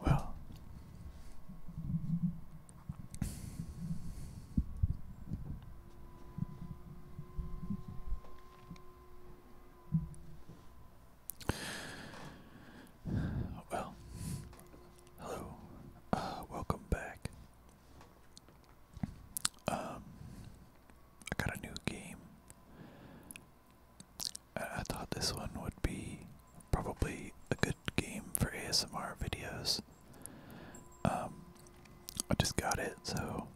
Well, well, hello, uh, welcome back. Um, I got a new game. I thought this one would be probably a good game for ASMR videos. Um, I just got it, so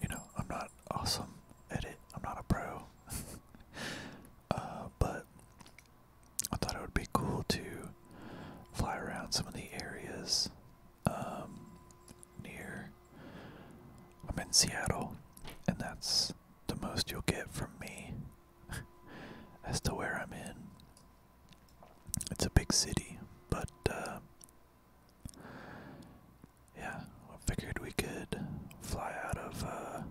you know I'm not awesome at it. I'm not a pro, uh, but I thought it would be cool to fly around some of the areas um, near. I'm in Seattle, and that's the most you'll get from me as to where I'm in. It's a big city, but uh, yeah, I figured we could fly out of uh,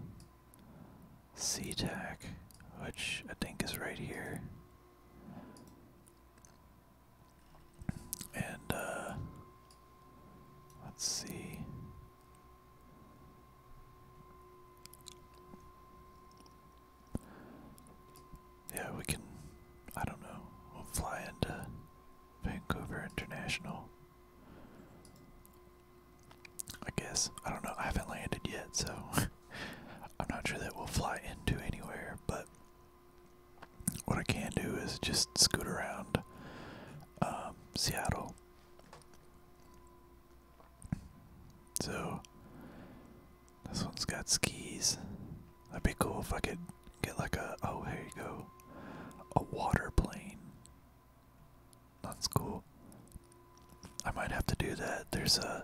SeaTac, which I think is right here. And uh let's see. Yeah, we can I don't know. We'll fly into Vancouver International. I guess. I don't know. I haven't landed yet, so I'm not sure that we'll fly into anywhere, but what I can do is just scoot around um, Seattle. So this one's got skis. That'd be cool if I could get like a oh here you go a water plane. That's cool. I might have to do that. There's a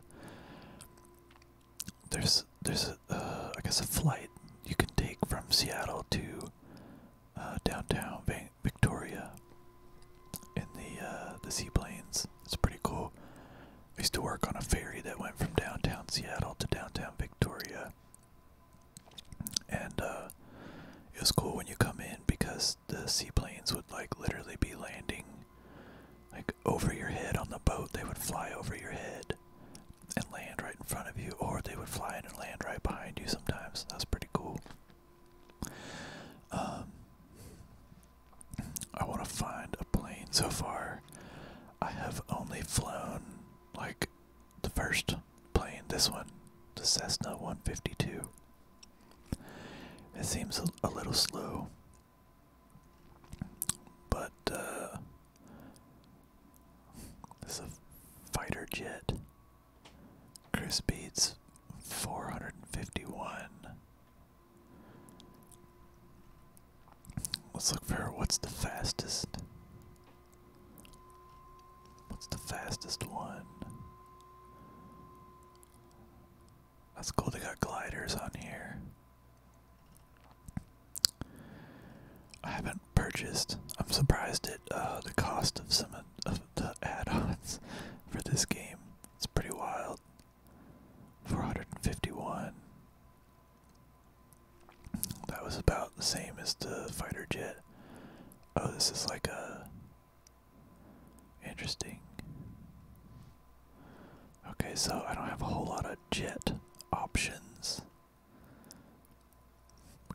there's there's a, uh, I guess a flight you can take from Seattle to uh, downtown Victoria in the uh, the seaplanes. It's pretty cool. I used to work on a ferry that went from downtown Seattle to downtown Victoria, and it was cool when you come in because the seaplanes would like literally be landing like over your head on the boat. They would fly over your head and land right in front of you, or they would fly in and land right behind you sometimes. That's pretty cool. Um, I want to find a plane. So far, I have only flown like the first plane, this one, the Cessna 152. It seems a, little slow, but uh, this is a fighter jet. Cruise speeds 451. Let's look for what's the fastest. What's the fastest one? That's cool, they got gliders on here. I haven't purchased. I'm surprised at uh, the cost of some of the add-ons for this game. It's pretty wild. 451. That was about the same as the fighter jet. Oh, this is like a interesting. Okay, so I don't have a whole lot of jet options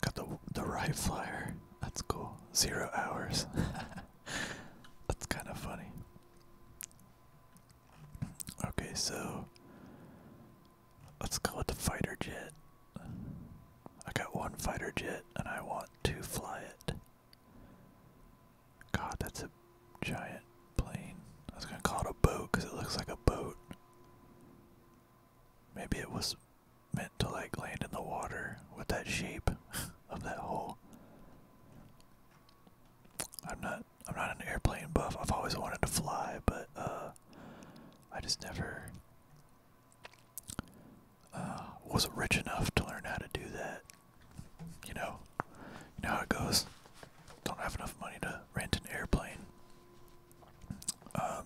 got the the rye flyer. That's cool. Zero hours. That's kind of funny. Okay, so let's call it the fighter jet. I got one fighter jet and I want to fly it. God, that's a giant plane. I was gonna call it a boat because it looks like a boat. Maybe it was meant to like land in the water with that shape of that hole. I'm not I'm not an airplane buff. I've always wanted to fly, but uh I just never uh, was rich enough to learn how to do that. You know? You know how it goes. Don't have enough money to rent an airplane. Um,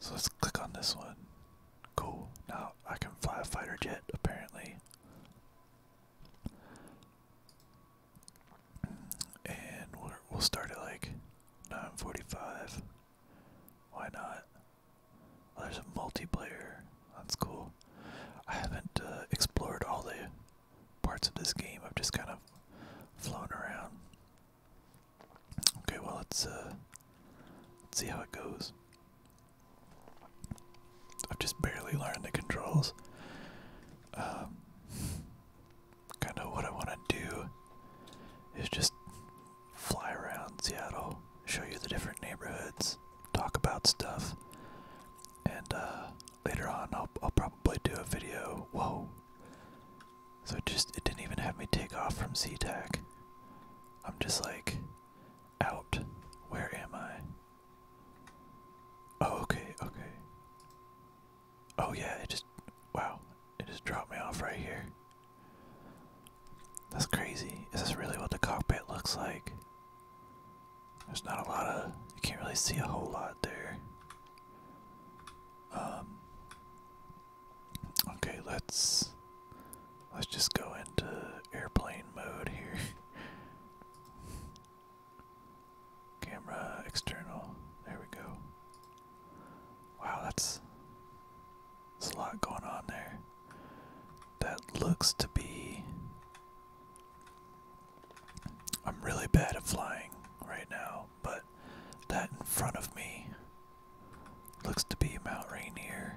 so let's click on this one. Cool. Now I can fly a fighter jet, apparently. And we'll, we'll start at like 9:45. Why not? Oh, there's a multiplayer. That's cool. I haven't uh, explored all the parts of this game I've just kind of flown around. Okay, well uh, let's see how it goes. I've just barely learned the controls. Um, kind of what I want to do is just fly around Seattle, show you the different neighborhoods, talk about stuff, and uh, later on I'll, I'll probably do a video. Whoa. So it just, it didn't even have me take off from Z-Tac. I'm just like, out. Where am I? Oh, okay, okay. Oh yeah, it just, wow. It just dropped me off right here. That's crazy. Is this really what the cockpit looks like? There's not a lot of you can't really see a whole lot there. Um Okay, let's let's just go into airplane mode here. Camera external. There we go. Wow, that's there's a lot going on there. That looks to be I'm really bad at flying right now, but that in front of me looks to be Mount Rainier.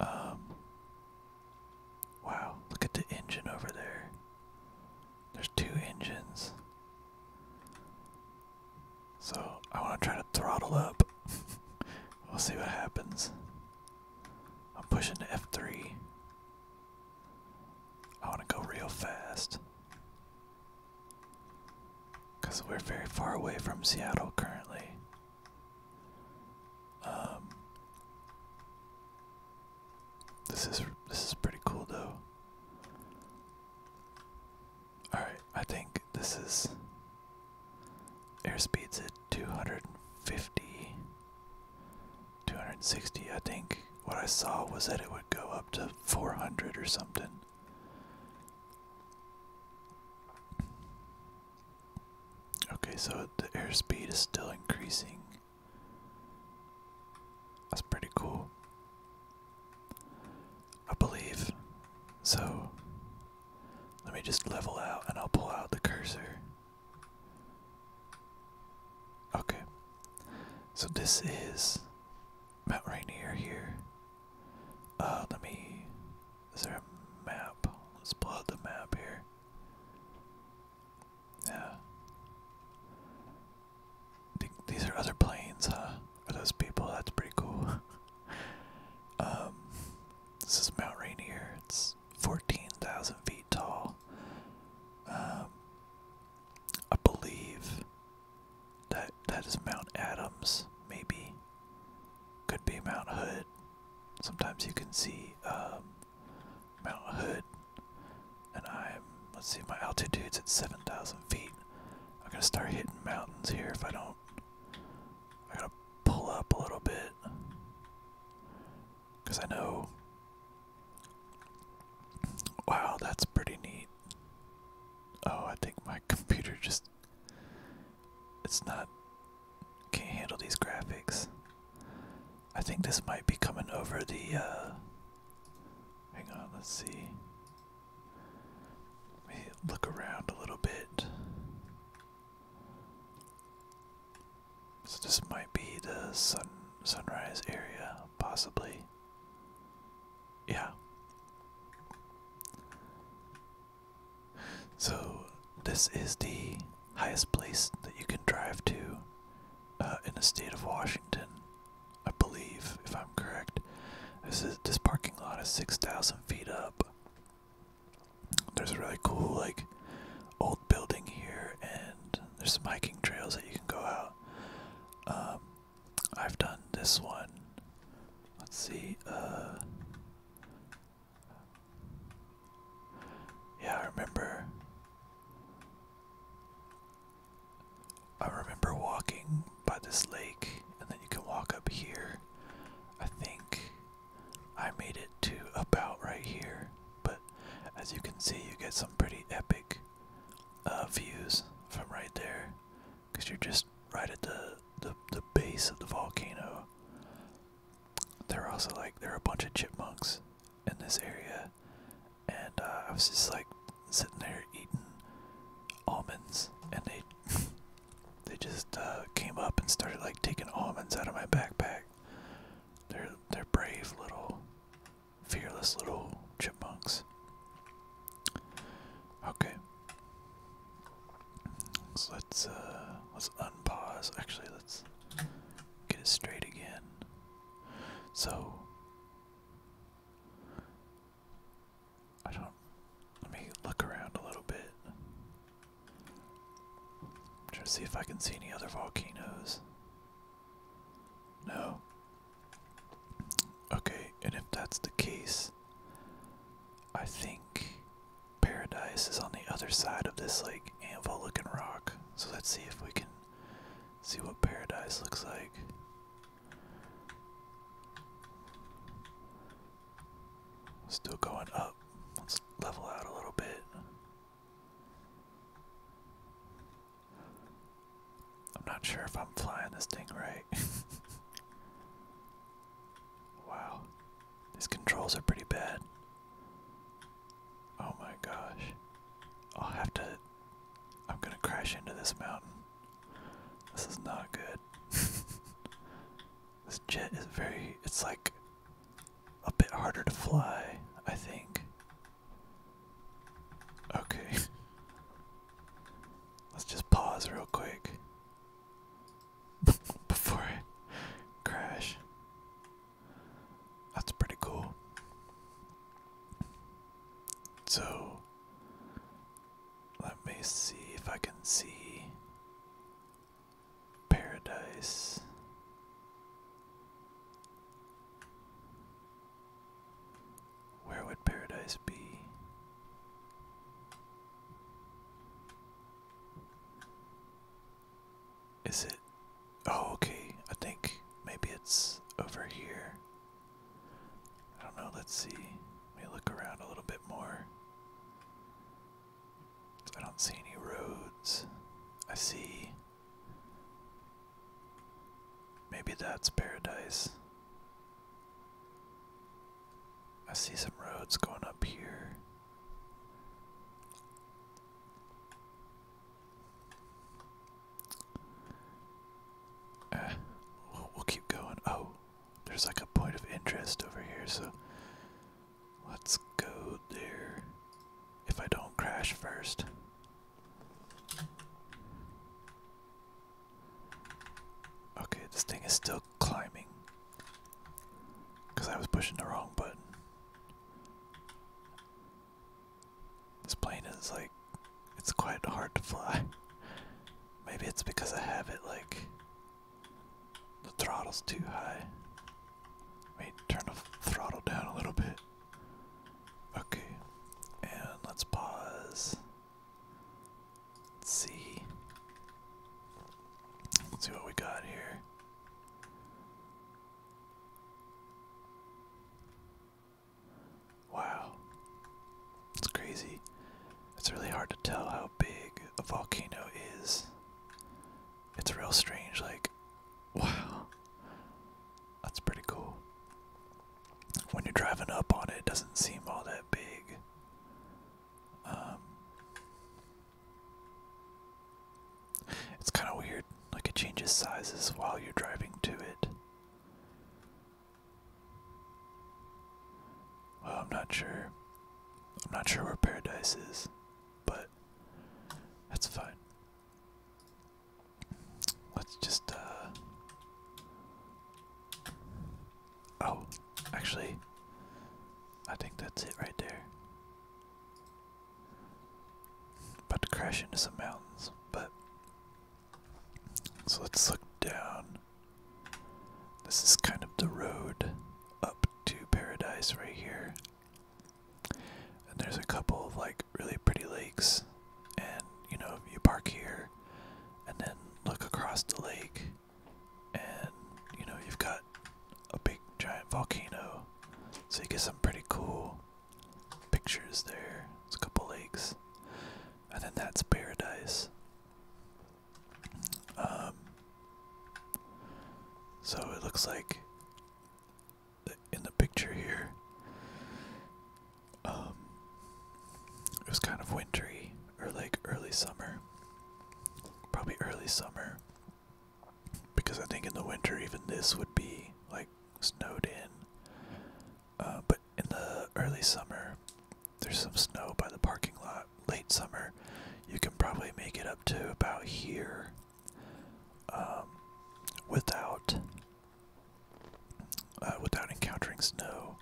Um, wow, look at the engine over there. There's two engines. So I want to try to throttle up. we'll see what happens. I'm pushing the F3. I want to go real fast. Because we're very far away from Seattle currently. Um, this is this is pretty cool though. All right, I think this is airspeeds at 250 260, I think what I saw was that it would go up to 400 or something. Okay, so the airspeed is still increasing. That's pretty cool. I believe. So, let me just level out and I'll pull out the cursor. Okay. So this is Mount Rainier here. Uh, let me is there a map? Let's pull out the map here. Yeah. these are other planes, huh? For those people, that's pretty cool. um, this is Mount Rainier. It's 14,000 feet feet tall. Um, I believe that that is Mount Adams, maybe. Could be Mount Hood. Sometimes you can see um, Mount Hood, and I'm let's see, my altitude's at seven thousand feet. I'm gonna start hitting mountains here if I don't. I gotta pull up a little bit. Because I know. Wow, that's pretty neat. Oh, I think my computer just. It's not. Can't handle these graphics. I think this might be coming over the. Uh, hang on, let's see. Let me look around a little bit. So this might be the sun sunrise area, possibly. Yeah. So this is the highest place that you can drive to uh, in the state of Washington, I believe, if I'm correct. This is this parking lot is six thousand feet up. There's a really cool like old building here, and there's some hiking trails that you can go out. Um, I've done this one. Let's see. Uh, yeah, I remember. I remember walking by this lake, and then you can walk up here. I think I made it to about right here. but as you can see, you get some pretty epic uh, views from right there, because you're just right at the, the base of the volcano. they are also like they are a bunch of chipmunks in this area, and uh, I was just like sitting there eating almonds, and they they just uh, came up and started like taking almonds out of my backpack. They're they're brave little fearless little chipmunks. Okay. So let's uh, let's unpause. Actually let's get it straight again. So I don't let me look around a little bit. Try to see if I can see any other volcanoes. No. Okay, and if that's the case, I think paradise is on the other side of this like anvil looking rock. So let's see if we can see what paradise looks like. Still going up. Let's level out a little bit. I'm not sure if I'm flying this thing right. wow. These controls are pretty bad. Oh my gosh. I'll have to. I'm gonna crash into this mountain. This is not good. this jet is very. It's like a bit harder to fly, I think. Okay. Let's just pause real quick before I crash. That's pretty cool. So, let me see if I can see paradise. Where would paradise be? Is it? Oh, okay. I think maybe it's over here. I don't know. Let's see. Let me look around a little bit more. I don't see any roads. I see Maybe that's paradise. I see some roads going up here. Eh, we'll keep going. Oh, there's like a point of interest over here, so let's go there. If I don't crash first. Okay, this thing is still climbing. Because I was pushing the wrong button. This plane is like, it's quite hard to fly. Maybe it's because I have it like, the throttle's too high. Wait, turn the throttle down a little bit. Okay, and let's pause. Let's see. Let's see what we got here. Wow. It's crazy. It's really hard to tell how big a volcano is. It's real strange, like, wow. That's pretty cool. When you're driving up on it, it doesn't seem all that big. Um, it's kind of weird, like it changes sizes while you're driving to it. Well, I'm not sure. I'm not sure where paradise is, but that's fine. Let's just, uh. Oh, actually, I think that's it right there. About to crash into some mountains, but. So let's look down. This is kind of the road up to paradise right here. And there's a couple of like really pretty lakes, and you know, you park here and then look across the lake, and you know, you've got a big giant volcano, so you get some pretty cool pictures there. It's a couple lakes, and then that's paradise. Um, so it looks like in the picture here. Um, it was kind of wintry or like early summer, probably early summer, because I think in the winter even this would be like snowed in. Uh, but in the early summer, there's some snow by the parking lot. Late summer, you can probably make it up to about here um, without uh, without encountering snow.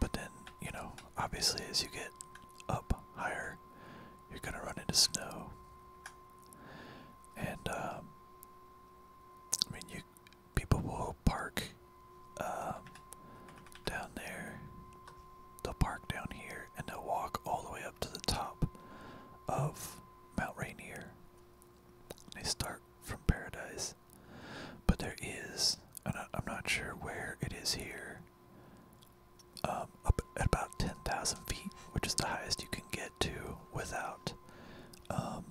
But then, you know, obviously, as you get up higher, you're gonna run into snow. And um, I mean, people will park um, down there. They'll park down here, and they'll walk all the way up to the top of Mount Rainier. They start from paradise. But there is, I, am not sure where it is here, um, up at about 10,000 feet, which is the highest you can get to without, um,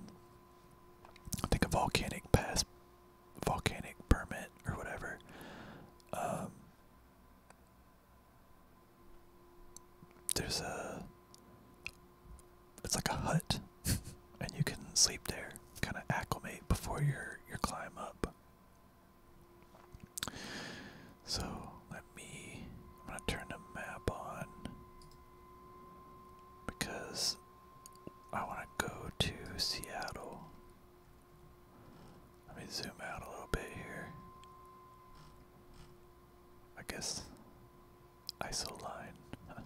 I think a volcanic pass, volcanic permit, or whatever. Um, there's a. It's like a hut, and you can sleep there, kind of acclimate before your your climb up. So let me. I'm gonna turn the map on because I want to go to Seattle. Let me zoom out a little bit here. I guess ISO line. Huh.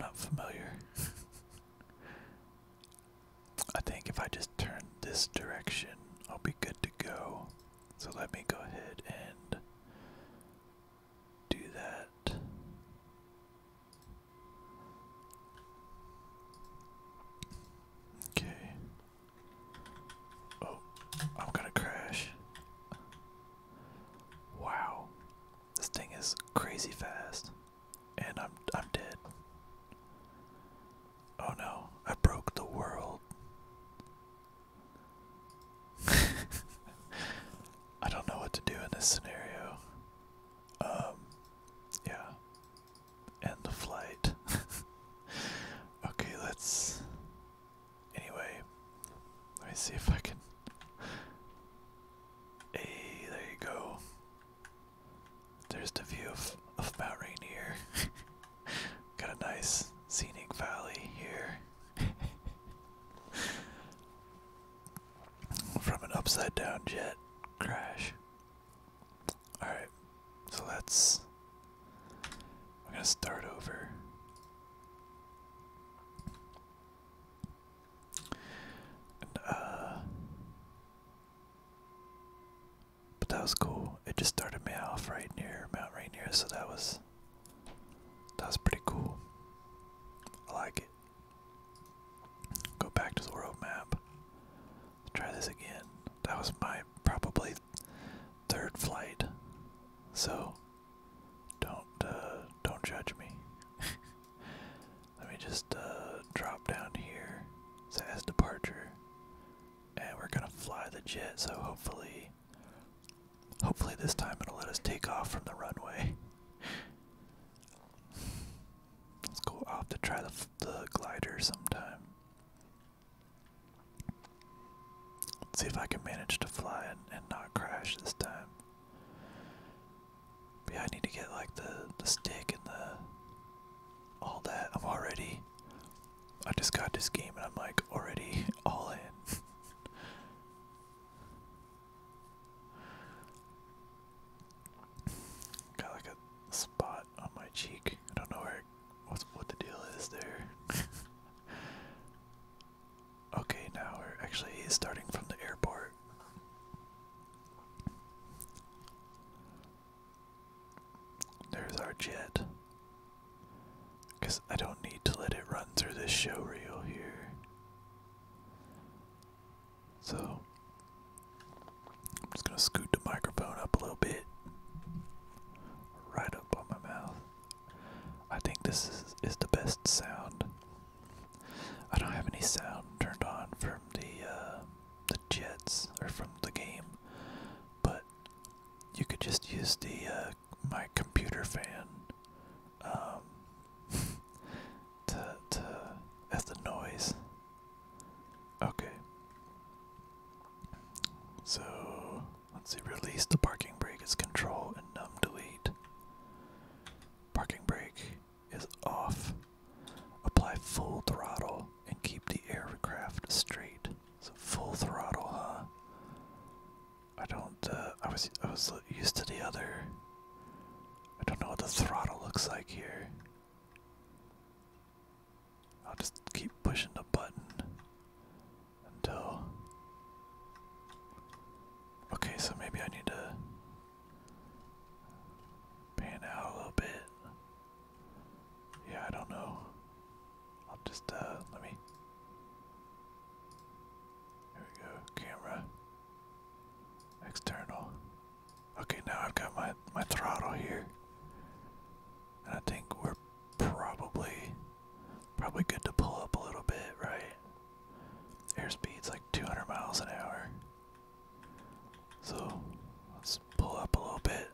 Not familiar. I think if I just turn this direction, I'll be good to go. So let me go ahead and do that. Okay. Oh, I'm gonna crash. Wow. This thing is crazy fast. And I'm I'm dead. Oh no, I broke the world. I don't know what to do in this scenario. Um yeah. End the flight. okay, let's Anyway, let me see if I can. Hey, there you go. There's the view of, Mount Rainier. Got a nice scenic valley here. From an upside down jet crash. Alright, so that's we're gonna start over. Uh, but that was cool. It just started me off right near Mount Rainier, so that was that was pretty cool. I like it. Go back to the world map. Try this again. That was my probably third flight. So don't uh, don't judge me. Let me just uh, drop down here. It says departure, and we're gonna fly the jet. So hopefully, hopefully this time it'll let us take off from the runway. Let's go off to try the, the glider sometime. Let's see if I can manage to fly and, and not crash this time. yeah, I need to get like the, the stick and the all that. I'm already I just got this game and I'm like already all in. Got like a spot on my cheek. I don't know where what's what the deal is there? okay, now we're actually starting from the airport. There's our jet. Because I don't need to let it run through this show reel here. So, I'm just going to scoot the microphone up a little bit. Right up on my mouth. I think this is, is the best sound. I don't have any sound turned on from the uh, the jets or from the game, but you could just use the uh, my computer fan um, to to as the noise. Okay. So Let's see, release the parking brake Its control and num delete. Parking brake is off. Apply full throttle and keep the aircraft straight. So full throttle, huh? I don't. Uh, I was I was used to the other. I don't know what the throttle looks like here. I'll just keep pushing the button until. Okay, so maybe I need to pan out a little bit. Yeah, I don't know. I'll just, uh, let me. There we go. Camera. External. Okay, now I've got my, my throttle here. And I think we're probably Probably good to pull up a little bit, right? Airspeed's like 200 miles an hour. So let's pull up a little bit.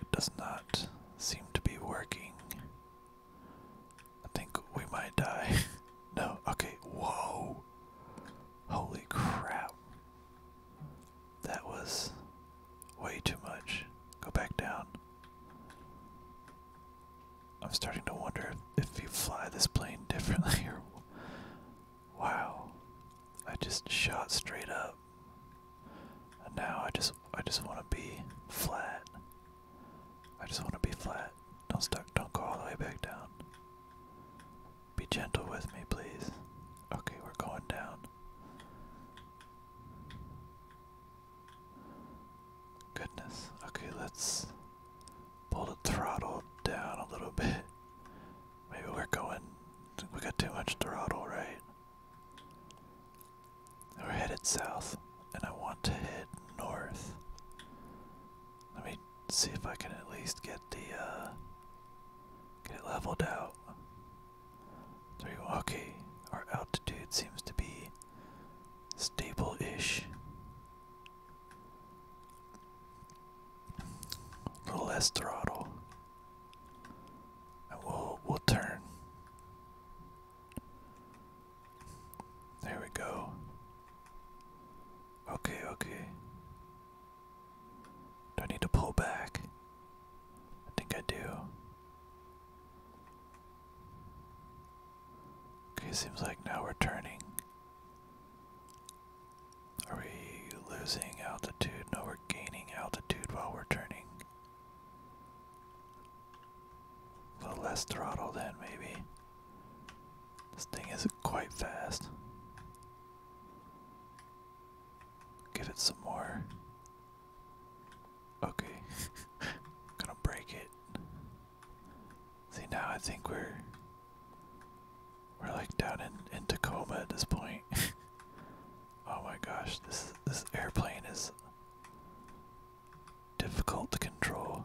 It does not seem to be working. I think we might die. no, okay, whoa. Holy crap. That was way too much. Go back down. I'm starting to wonder if you fly this plane differently or. Wow. I just shot straight up. And now I just I just wanna be flat. I just wanna be flat. Don't stuck don't go all the way back down. Be gentle with me, please. Okay, we're going down. Goodness. Okay, let's pull the throttle down a little bit. Maybe we're going. We got too much throttle, right? We're headed south, and I want to head north. Let me see if I can at least get the, uh, get it leveled out okay, our altitude seems to be stable ish. A little less throttle. And we'll we'll turn. There we go. Okay, okay. Do I need to pull back? I think I do. Okay, seems like now we're turning. Are we losing altitude? No, we're gaining altitude while we're turning. A little less throttle then, maybe. This thing isn't quite fast. Give it some more. Okay. Gonna break it. See now I think we're we're like down in, in Tacoma at this point. oh my gosh, this this airplane is difficult to control.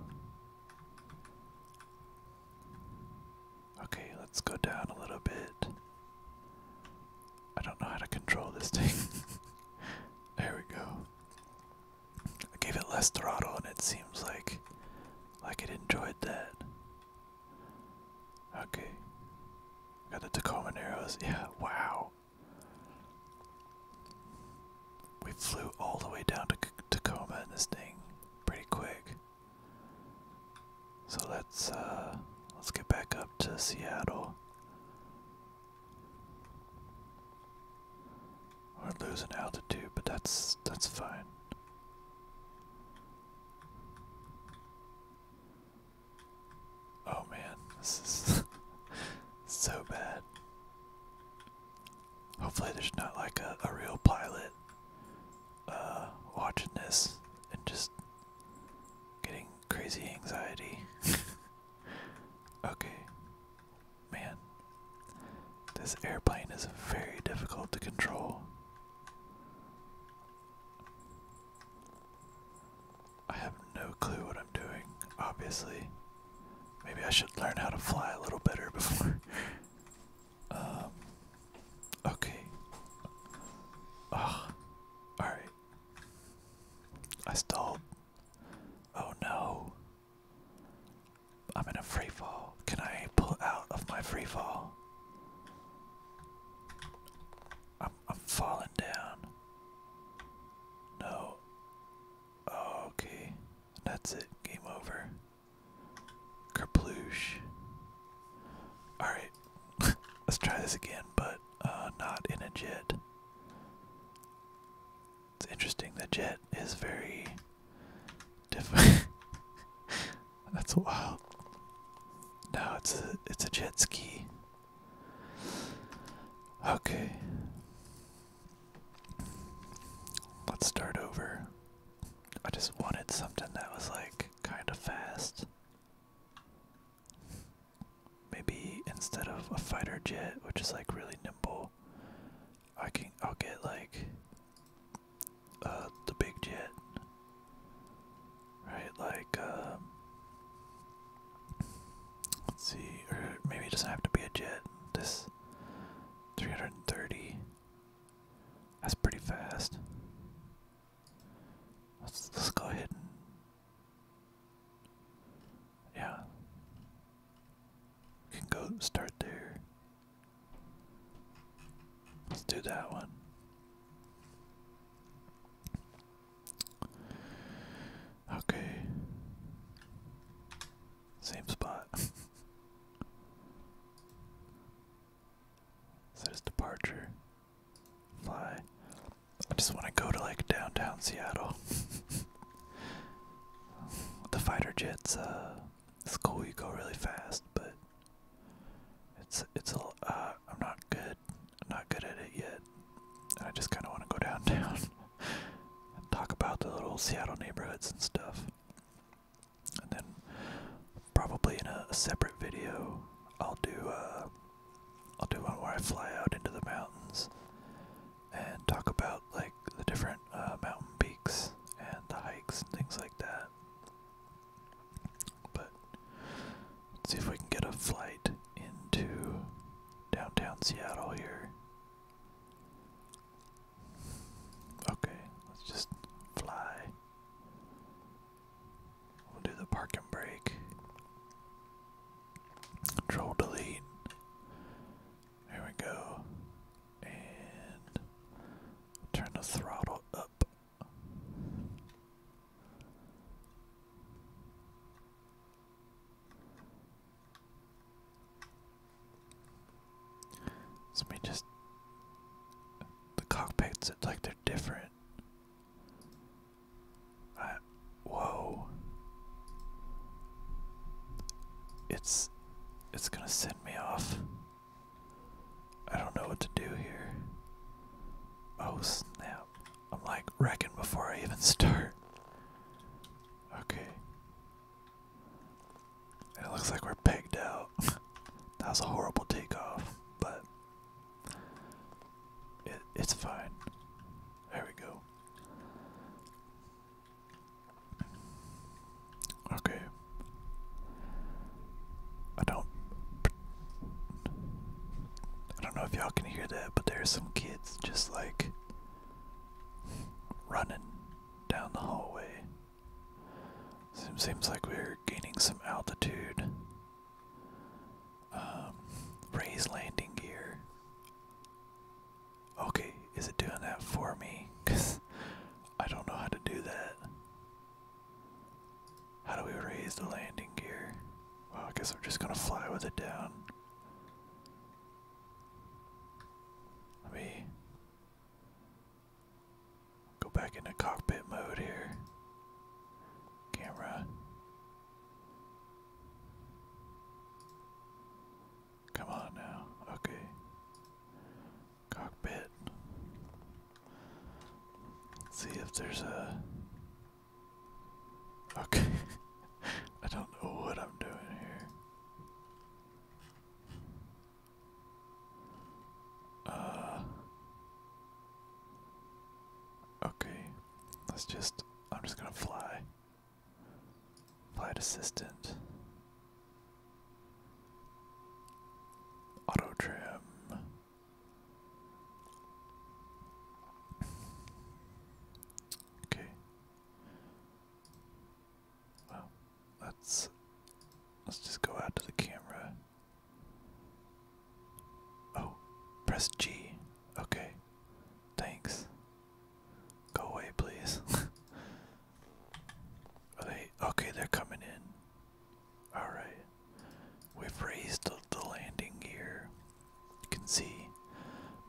Okay, let's go down a little bit. I don't know how to control this thing. there we go. I gave it less throttle and it seems like like it enjoyed that. Okay. Got the Tacoma arrows. Yeah, wow. We flew all the way down to Tacoma in this thing pretty quick. So let's uh let's get back up to Seattle. We're losing altitude, but that's that's fine. Oh man, this is so bad. Hopefully there's not like a, real pilot uh, watching this and just getting crazy anxiety. okay. Man, this airplane is very difficult to control. I have no clue what I'm doing, obviously. Maybe I should learn how to fly a little better before. um, okay. Ugh. Ah, Alright. I stalled. Oh no. I'm in a free fall. Can I pull out of my free fall? I'm I'm falling down. No. Okay. That's it. Game over. Kerploosh. Alright. Let's try this again, but uh, not in a jet. It's interesting. The jet is very different. That's wild. No, it's a it's a jet ski. Okay. Let's start over. I just wanted something that was like kind of fast maybe instead of a fighter jet, which is like really nimble, I can I'll get like uh the big jet. Right, like um let's see, or maybe it doesn't have to be a jet. This 330. That's pretty fast. Let's let's go ahead yeah. can go start there. Let's do that one. Okay. Same spot. Says departure. Fly. I just want to go to like downtown Seattle. the fighter jets, uh, it's cool. You go really fast, but it's it's a. Uh, I'm not good. I'm not good at it yet, I just kind of want to go downtown and talk about the little Seattle neighborhoods and stuff. And then probably in a, separate video, I'll do. Uh, I'll do one where I fly out into the mountains and talk about like the different uh, mountain peaks and the hikes and things like that. But let's see if we can get a flight into downtown Seattle here. Okay, let's just fly. We'll do the park and Control delete. There we go. And turn the throttle up. let me just the cockpits it's like they're different whoa. It's it's gonna send me off. I don't know what to do here. Oh snap. I'm like wrecking before I even start. Okay. it looks like we're pegged out. that was a horrible takeoff, but it's fine. There we go. Okay. I don't. I don't know if y'all can hear that, but there's some kids just like running down the hallway. seems like we're gaining some altitude. Um, raise landing gear. Okay, is it doing that for me? Cause I don't know how to do that. How do we raise the landing gear? Well, I guess we're just gonna fly with it down. Let me go back into cockpit mode here. Camera. Come on now. Okay. Cockpit. see if there's a. Okay. I don't know what I'm doing here. Uh. Okay. Let's just I'm just gonna fly. Flight assistant. Auto trim. Okay. Well, let's let's just go out to the camera. Oh, press G. Okay. Thanks. Go away, please. Are okay? They're coming in. All right. We've raised the, landing gear. You can see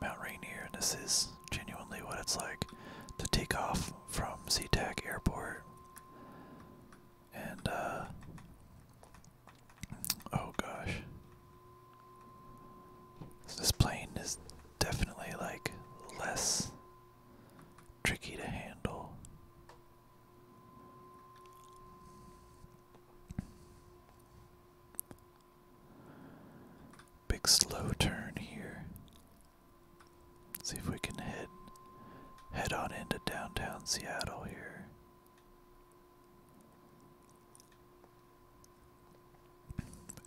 Mount Rainier, and this is genuinely what it's like to take off from SeaTac Airport. And uh, Oh gosh. this plane is definitely like less tricky to handle. Big slow turn here. see if we can head head on into downtown Seattle here.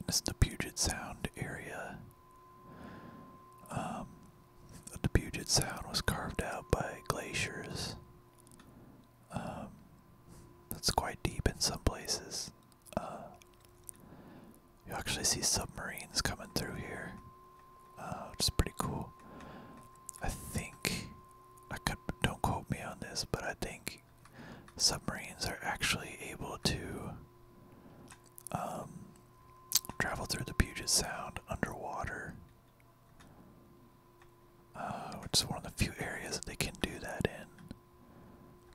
This is the Puget Sound area. Um, the Puget Sound was carved out by glaciers. Um, that's quite deep in some places. Uh, you actually see submarines coming through here, which uh, is pretty cool. I think I could don't quote me on this, but I think submarines are actually able to um, travel through the Puget Sound underwater, uh, which is one of the few areas that they can do that in.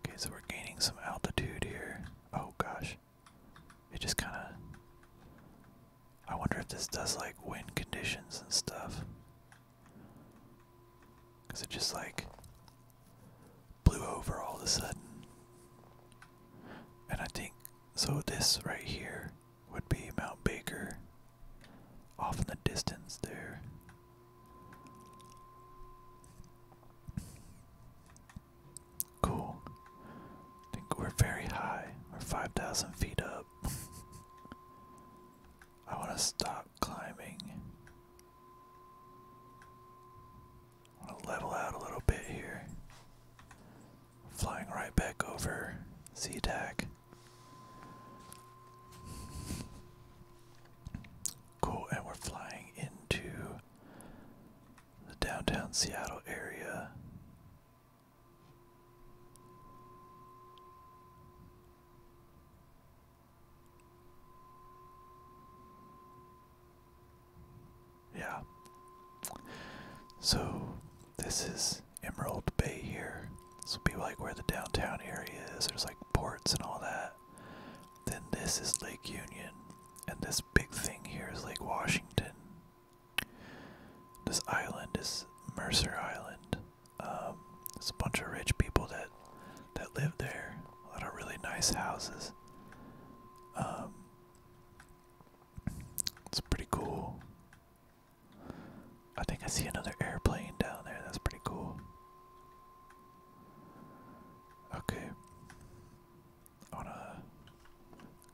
Okay, so we're gaining some altitude here. Oh gosh, it just kind of. I wonder if this does like wind conditions and stuff. Because it just like blew over all of a sudden. And I think, so this right here would be Mount Baker off in the distance there. Cool. think we're very high. We're 5,000 feet up. I want to stop climbing. level out a little bit here. Flying right back over z Cool, and we're flying into the downtown Seattle area. Yeah. So this is Emerald Bay here. This will be like where the downtown area is. There's like ports and all that. Then this is Lake Union. And this big thing here is Lake Washington. This island is Mercer Island. Um, there's a bunch of rich people that that live there. A lot of really nice houses. Um, it's pretty cool. I think I see another airplane down there. That's pretty cool. Okay. I want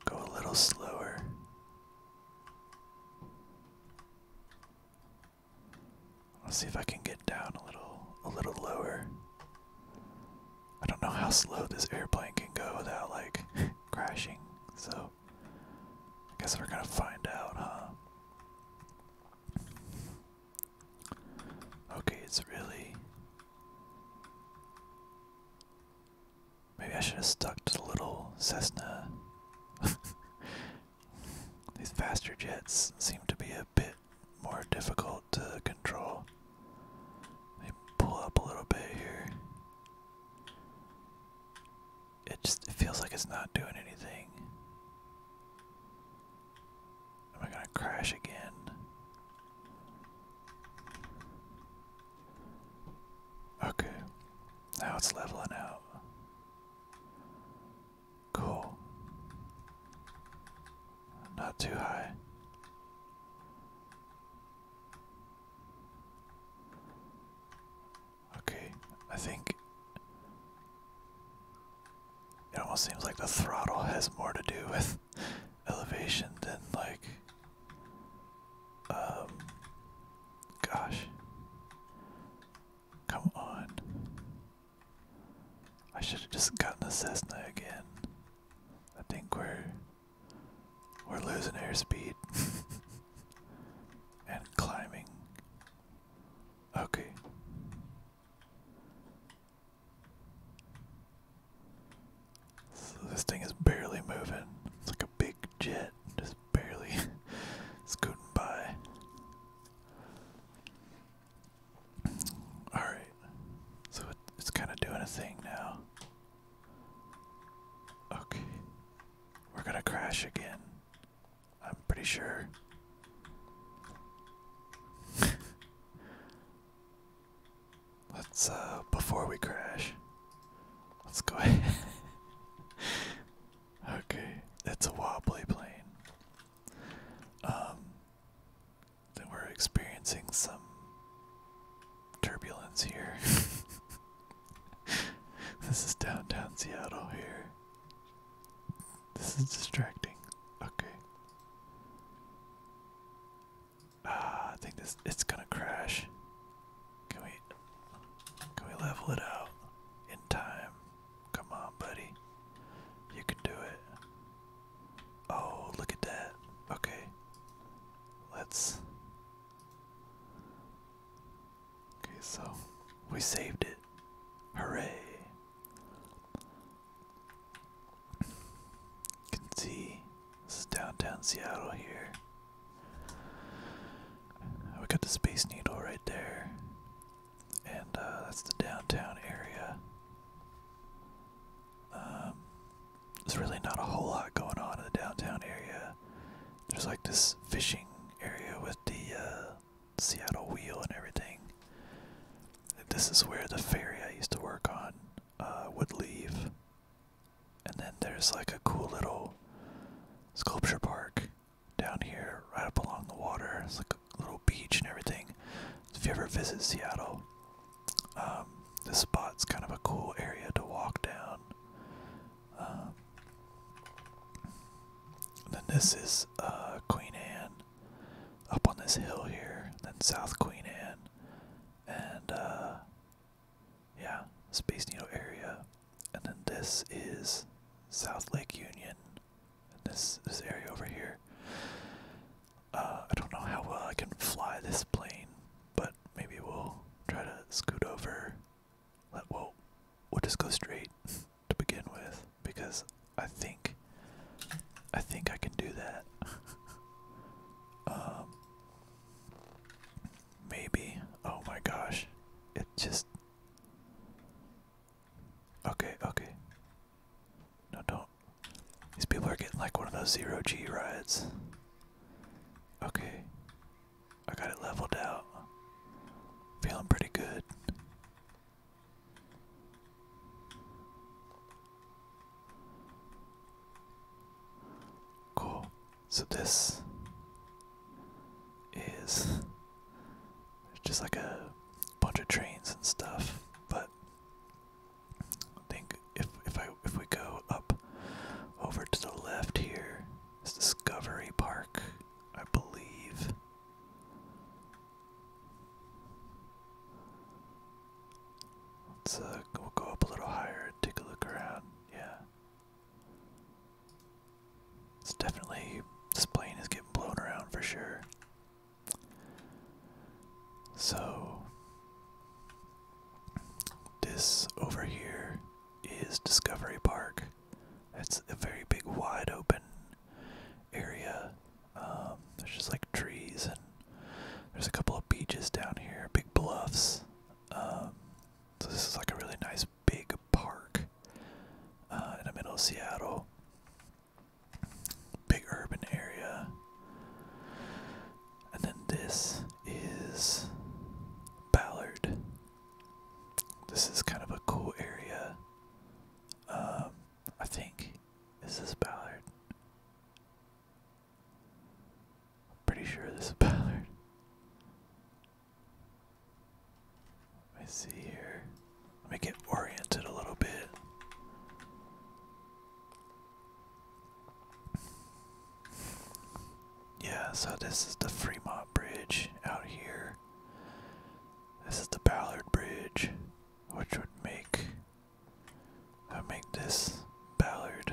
go a little slower. Let's see if I can get down a little a little lower. I don't know how slow this airplane can go without like crashing, so I guess we're gonna find out, huh? Okay, it's really Maybe I should have stuck to the little Cessna These faster jets seem to be a bit more difficult to control. They pull up a little bit here. It just it feels like it's not doing anything. Am I gonna crash again? Okay. Now it's leveling out. Cool. Not too high. Okay, I think it almost seems like the throttle has more to do with elevation than like um gosh Come on. I should have just gotten a Cessna again. I think we're we're losing airspeed and climbing. Okay. So this thing is barely moving. It's like a big jet just barely scooting by. Alright, so it's kind of doing a thing now. Okay, we're gonna crash again. I'm pretty sure. let's, uh, before we crash, let's go ahead. Okay, it's a wobbly plane. Um, we're experiencing some turbulence here. this is downtown Seattle here. This is distracting. Okay. Ah, I think this it's gonna crash. Can we can we level it out in time? Come on, buddy. You can do it. Oh, look at that. Okay. Let's. Okay, so we saved it. Hooray. You can see this is downtown Seattle here. We got the Space Needle right there and uh, that's the downtown area. Um, there's really not a whole lot going on in the downtown area. There's like this fishing area with the uh, Seattle Wheel and everything. This is where the ferry I used to work on uh, would leave. And then there's like a cool little sculpture park down here, right up along the water. It's like a little beach and everything. If you ever visit Seattle, um, this spot's kind of a cool area to walk down. Um, then this is uh, Queen Anne up on this hill here. Then South Queen Anne, and uh, yeah, Space Needle area and then this is South Lake Union. And this this area over here. Uh, I don't know how well I can fly this plane, but maybe we'll try to scoot over. Let well, we'll just go straight to begin with because I think I think I can do that. Um, maybe. Oh my gosh, it just Okay, okay. No, don't. These people are getting like one of those zero G rides. Okay. I got it leveled out. Feeling pretty good. Cool. So this is there's just like a bunch of trains and stuff. But I think if if I if we go up over to the left here, it's Discovery Park, I believe. Let's uh, we'll go up a little higher take a look around. Yeah. It's definitely this plane is getting blown around for sure. So this over here is Discovery Park. It's a very big, wide open area. Um, there's just like trees and there's a couple of beaches down here, big bluffs. Um, this is like a really nice big park uh, in the middle of Seattle. Big urban area. And then this is Ballard. This is kind of a cool area. Um, I think. Is Ballard? pretty sure this is Ballard. Let me see here. Let me get oriented a little bit. Yeah, so this is the Fremont Bridge out here. This is the Ballard Bridge, which would make would make this Ballard.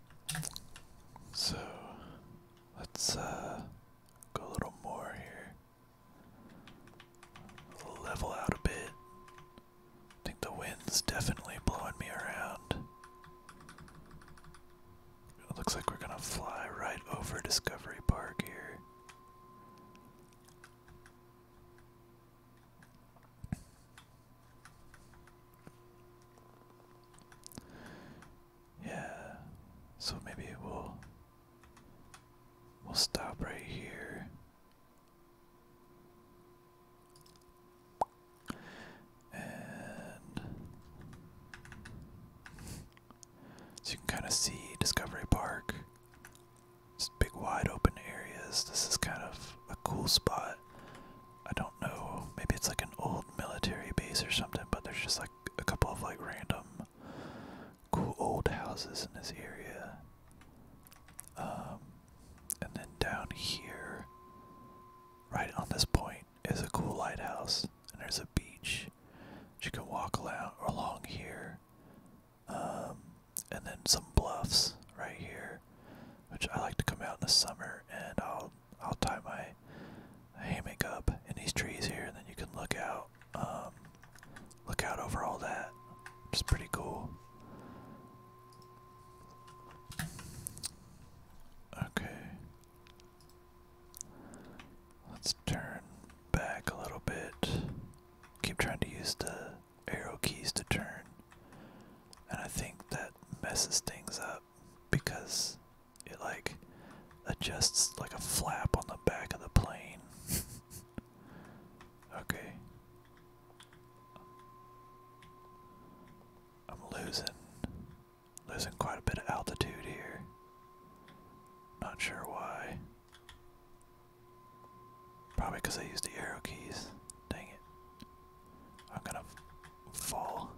So let's uh, go a little more here. Level out a bit. I think the wind's definitely blowing me around. looks like we're gonna fly right over Discovery Park here. Yeah. So maybe we'll we'll stop right here. And so you can kind of see Discovery Park. Just big wide open areas. This is kind of a cool spot. I don't know. Maybe it's like an old military base or something, but there's just like a couple of like random cool old houses in this area. Um, and then down here, right on this point, is a cool lighthouse, and there's a beach. You can walk along, along here. Um, and then some bluffs right here, which I like to come out in the summer, and I'll I'll tie my hammock up in these trees here, and then you can look out, um, look out over all that. It's pretty cool. Okay. Let's turn back a little bit. Keep trying to use the arrow keys to turn. And I think that messes things up because it like adjusts like a flap on the back of the plane. okay. I'm losing losing quite a bit of altitude here. Not sure why. Probably because I used the arrow keys. Dang it. I'm gonna fall.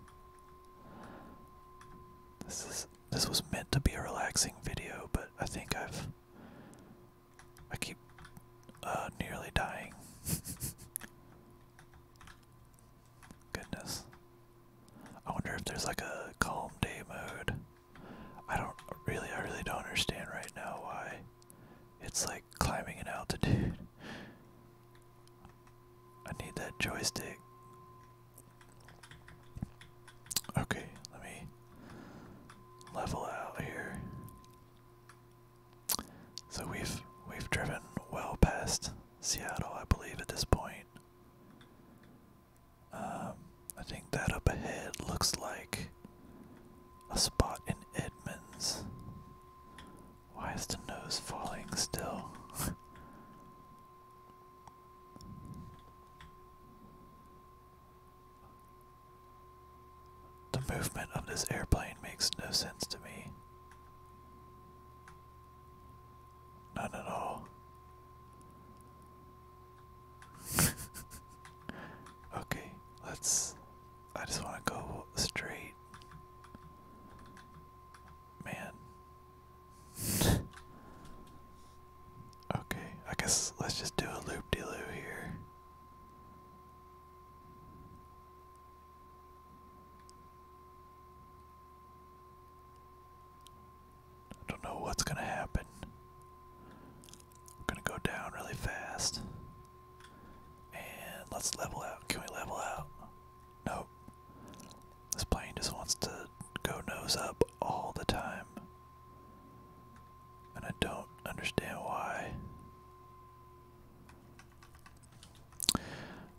This is this was meant to be a relaxing video, but I think I've I keep uh nearly dying. Goodness. I wonder if there's like a calm day mode. I don't really I really don't understand right now why it's like climbing an altitude. I need that joystick. Okay, let me level out here. So we've we've driven well past Seattle, I believe, at this point. Um, I think that up ahead looks like a spot in Edmonds. Why is the nose falling still? the movement of this airplane makes no sense to me. None at all. okay, let's. I just want to go straight man. okay, I guess let's just do a loop de loo here. I don't know what's gonna happen. gonna go down really fast. And let's level out. Can we level out? Nope. This plane just wants to go nose up all the time. And I don't understand why.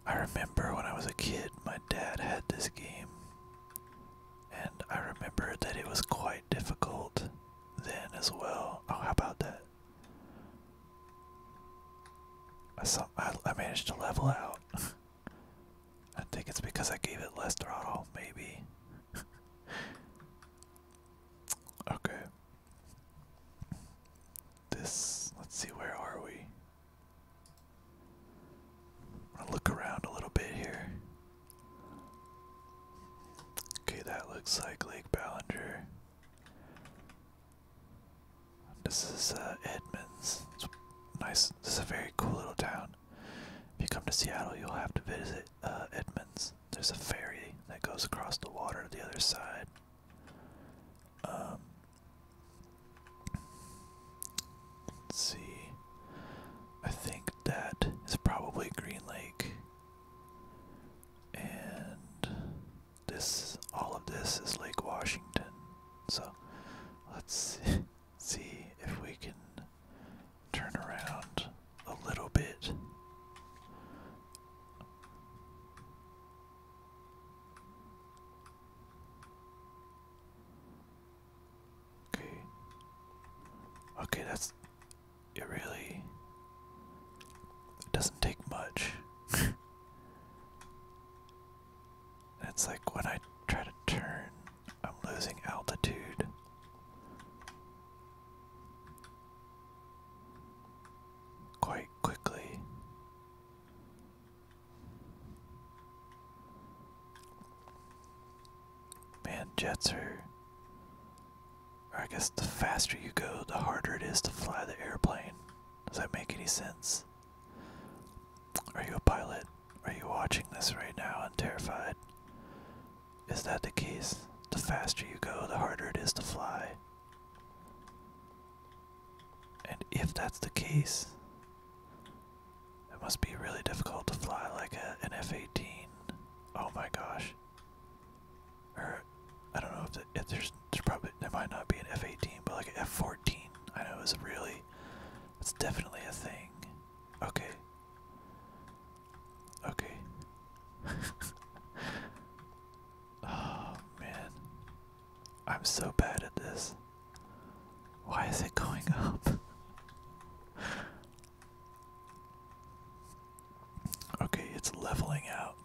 I remember when I was a kid, my dad had this game. And I remember that it was quite difficult then as well. Oh, how about that? I saw I managed to level out. I think it's because I gave it less throttle, maybe. okay. This let's see where are we? I'll look around a little bit here. Okay, that looks like Lake Ballinger. This is uh, Edmonds. It's nice. This is a very cool little town. If you come to Seattle, you'll have to visit uh, Edmonds. There's a ferry that goes across the water to the other side. Um, see. I think that is probably Green Lake. And this all of this is Lake Washington. So let's see if we can turn around a little bit. Okay. Okay, that's it really it doesn't take much. It's like when I try to turn, I'm losing altitude. Quite quickly. Man, jets are. Or I guess the faster you go, the harder it is to fly the airplane. Does that make any sense? Are you a pilot? Are you watching this right now and terrified? Is that the case? The faster you go, the harder it is to fly. And if that's the case, it must be really difficult to fly like an F 18. Oh my gosh. Or, I don't know if there's there's probably there might not be an F-18, but like an F-14, I know it's really, it's definitely a thing. Okay. Okay. oh man, I'm so bad at this. Why is it going up? okay, it's leveling out.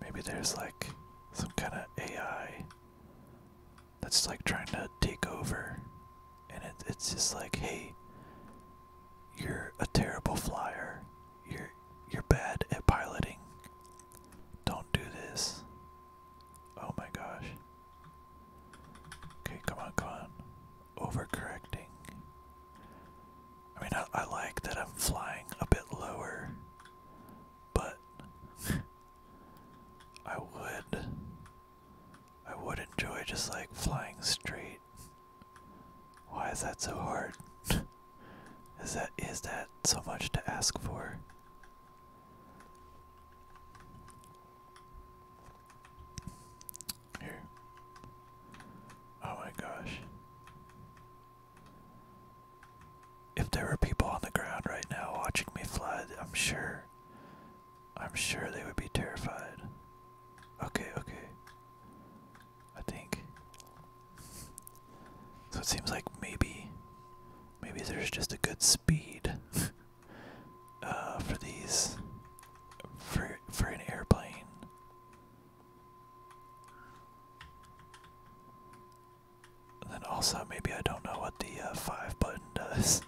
Maybe there's like some kind of AI that's like trying to take over, and it, it's just like, hey, you're a terrible flyer. You're you're bad at piloting. Don't do this. Oh my gosh. Okay, come on, come on overcorrecting. I mean, I, like that I'm flying a bit lower, but I would, I would enjoy just like flying straight. Why is that so hard? is that is that so much to ask for? Here. Oh my gosh. If there were people on the ground right now watching me fly, I'm sure. I'm sure they would be terrified. Okay, okay. I think. So it seems like maybe. Maybe there's just a good speed uh, for these. For, for an airplane and then also, maybe I don't know what the uh, 5 button does.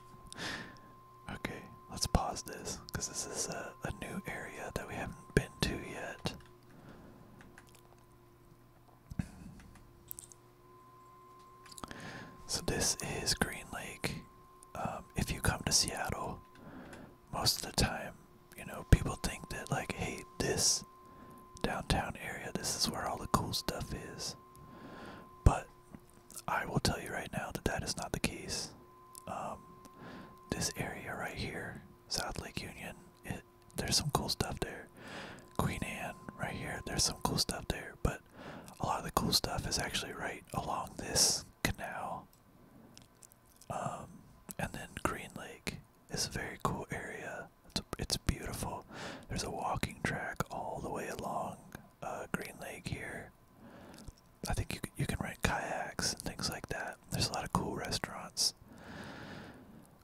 okay, let's pause this, because this is a, new area that we haven't been to yet. So, this is Green Lake. Um, if you come to Seattle, most of the time, you know, people think that, like, hey, this downtown area, this is where all the cool stuff is. But I will tell you right now that that is not the case. Um, this area right here, South Lake Union, there's some cool stuff there. Queen Anne, right here, there's some cool stuff there, but a lot of the cool stuff is actually right along this canal um, and then Green Lake is a very cool area. It's, it's beautiful. There's a walking track all the way along uh, Green Lake here. I think you you can rent kayaks and things like that. There's a lot of cool restaurants.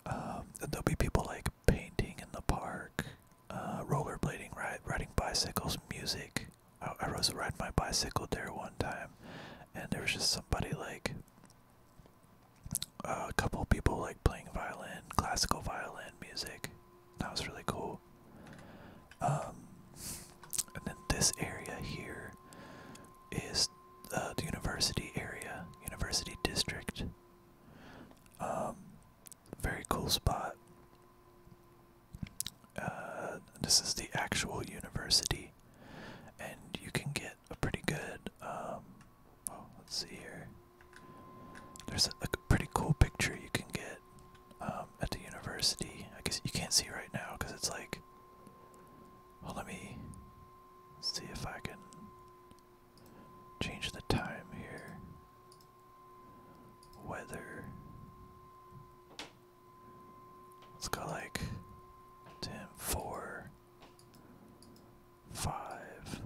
Um, there'll be people like painting in the park, uh, rollerblading, riding bicycles, music. I, I was riding my bicycle there one time, and there was just somebody like uh, a couple people like playing violin, classical violin music. That was really cool. Um, and then this area here is uh, the university area, university district. Um, very cool spot. Uh, this is the actual university, and you can get a pretty good. Um, oh, let's see here. There's a, pretty cool picture you can get um, at the university. I guess you can't see right now because it's like. Well, let me see if I can change the time here. Weather. Let's go like 10, 4, 5.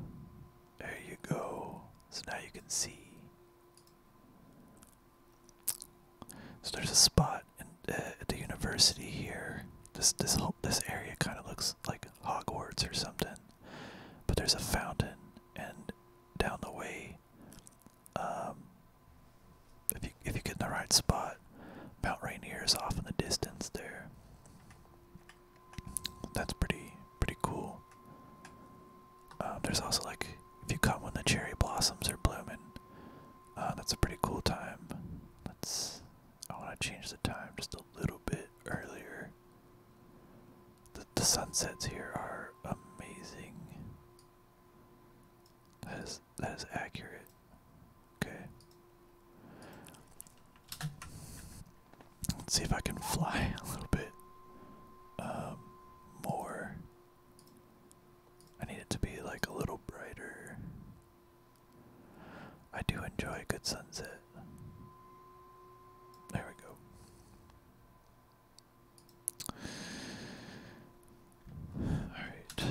There you go. So now you can see. So there's a spot uh, at the university here. This this whole, this area kind of looks like Hogwarts or something. But there's a fountain, and down the way, um, if you if you get in the right spot, Mount Rainier is off in the distance there. That's pretty pretty cool. Um, there's also like if you come when the cherry blossoms are blooming, uh, that's a pretty cool time. Let's I want to change the time just a little bit earlier. The the sunsets here are amazing. That is that is accurate. Okay. Let's see if I can fly a little bit um, more. I need it to be like a little brighter. I do enjoy a good sunset. There we go. All right.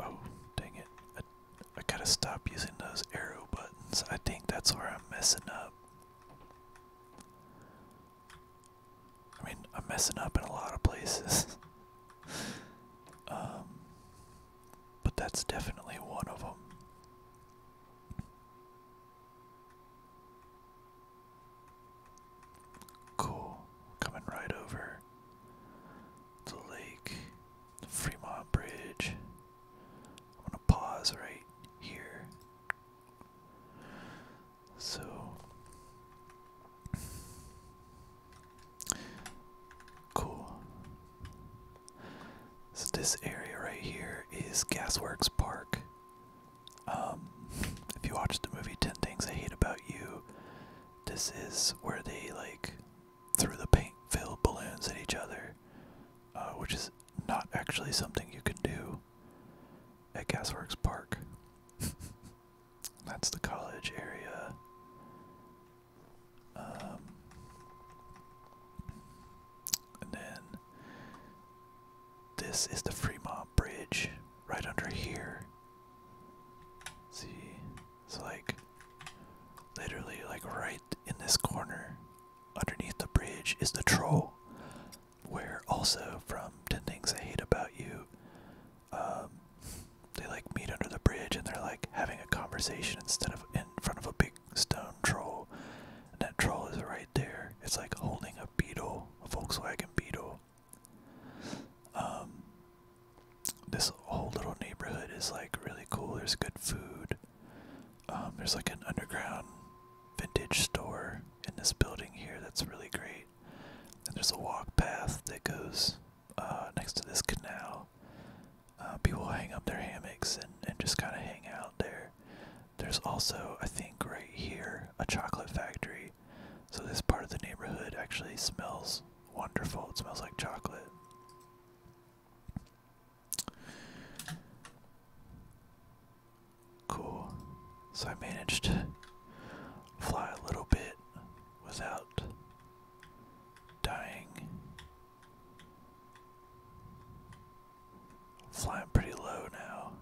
Oh, dang it. I, gotta stop using those arrow buttons. I think that's where I'm messing up. I mean, I'm messing up in a lot of places. um, but that's definitely one of them. Cool. Coming right over the lake, the Fremont Bridge. I'm gonna pause right here. So cool. So this area right here is Gasworks Park. Um, if you watched the movie Ten Things I Hate About You, this is where they like threw the paint-filled balloons at each other, uh, which is not actually something you can do at Gasworks Park. That's the college area. Um, and then this is the Fremont Bridge right under here. see, it's like literally like right in this corner underneath the bridge is the troll where also from 10 things i hate about you um, they like meet under the bridge and they're like having a conversation instead of in front of a big stone troll, that troll is right there. It's like holding a beetle, a Volkswagen Beetle. Um, this whole little neighborhood is like really cool. There's good food. Um, there's like an underground vintage store in this building here that's really great. And there's a walk path that goes uh, next to this canal. Uh, people hang up their hammocks and, and just kind of hang out there. There's also, I think, right here, a chocolate factory. So this part of the neighborhood actually smells wonderful. It smells like chocolate. Cool. So I managed to fly a little bit without dying. Flying pretty low now.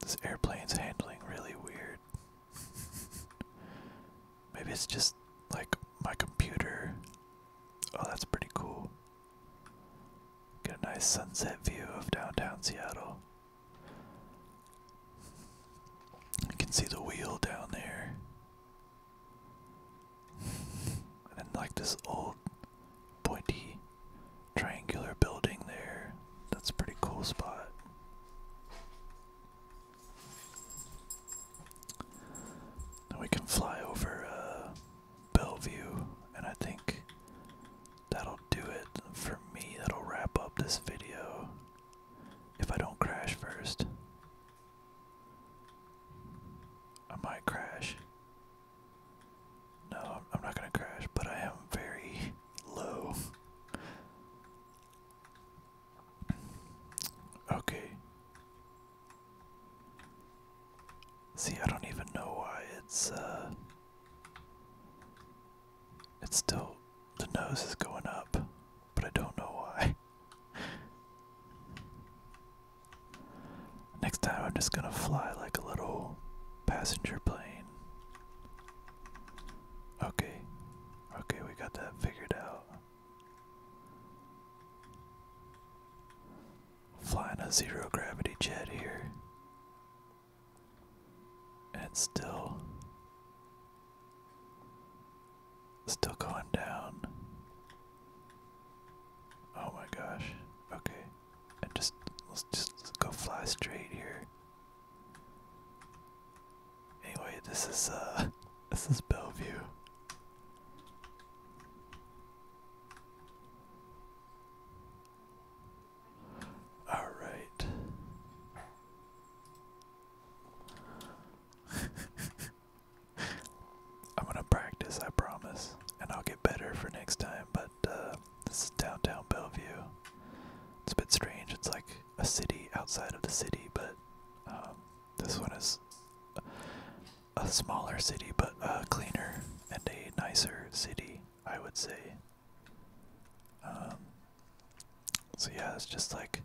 This airplane's handling really weird. Maybe it's just like my computer. Oh, that's pretty cool. Get a nice sunset view of downtown Seattle. You can see the wheel down there. and like, this old pointy triangular building there. That's a pretty cool spot. Then we can fly over uh, Bellevue, and I think that'll do it for me. That'll wrap up this video. If I don't crash first, I might crash. No, I'm not gonna crash, but I am very low. Okay. See, I don't even know why it's, uh. It's still. The nose is going up but I don't know why. Next time I'm just gonna fly like a little passenger plane. Okay, okay, we got that figured out. Flying a zero gravity jet here. And it's still Still going down. Oh my gosh. Okay. And just let's just go fly straight here. Anyway, this is uh this is Bellevue. All right. I'm gonna practice, I promise, and I'll get better for next time. But uh, this is downtown Bellevue. It's a bit strange. It's like a city outside of the city, but um, this one is a smaller city, but a uh, cleaner and a nicer city, I would say. Um, so yeah, it's just like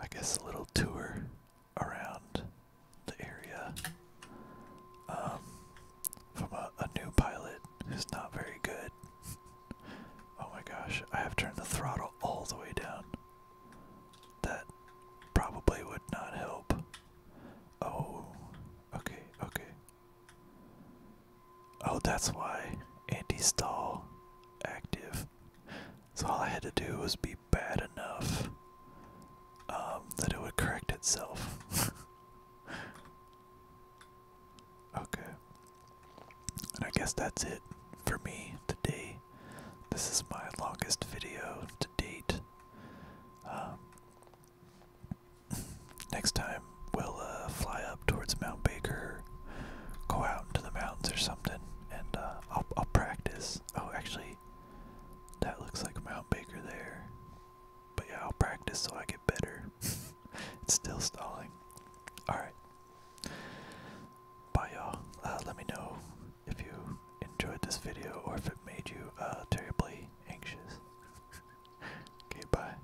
I guess a little tour around the area um, from a, a new pilot who's not very good. Oh my gosh, I have turned the throttle all the way down. That probably would not help. Oh, okay, okay. Oh, that's why anti stall active. So all I had to do was be bad enough um, that it would correct itself. okay. And I guess that's it for me today. This is my longest video to date. Um, next time we'll uh, fly up towards Mount Baker go out into the mountains or something, and uh, I'll I'll practice. Oh, actually, that looks like Mount Baker there. But yeah, I'll practice so I get better. it's still stalling. All right. Bye, y'all. Uh, let me know if you enjoyed this video or if it made you uh, terribly anxious. okay, bye.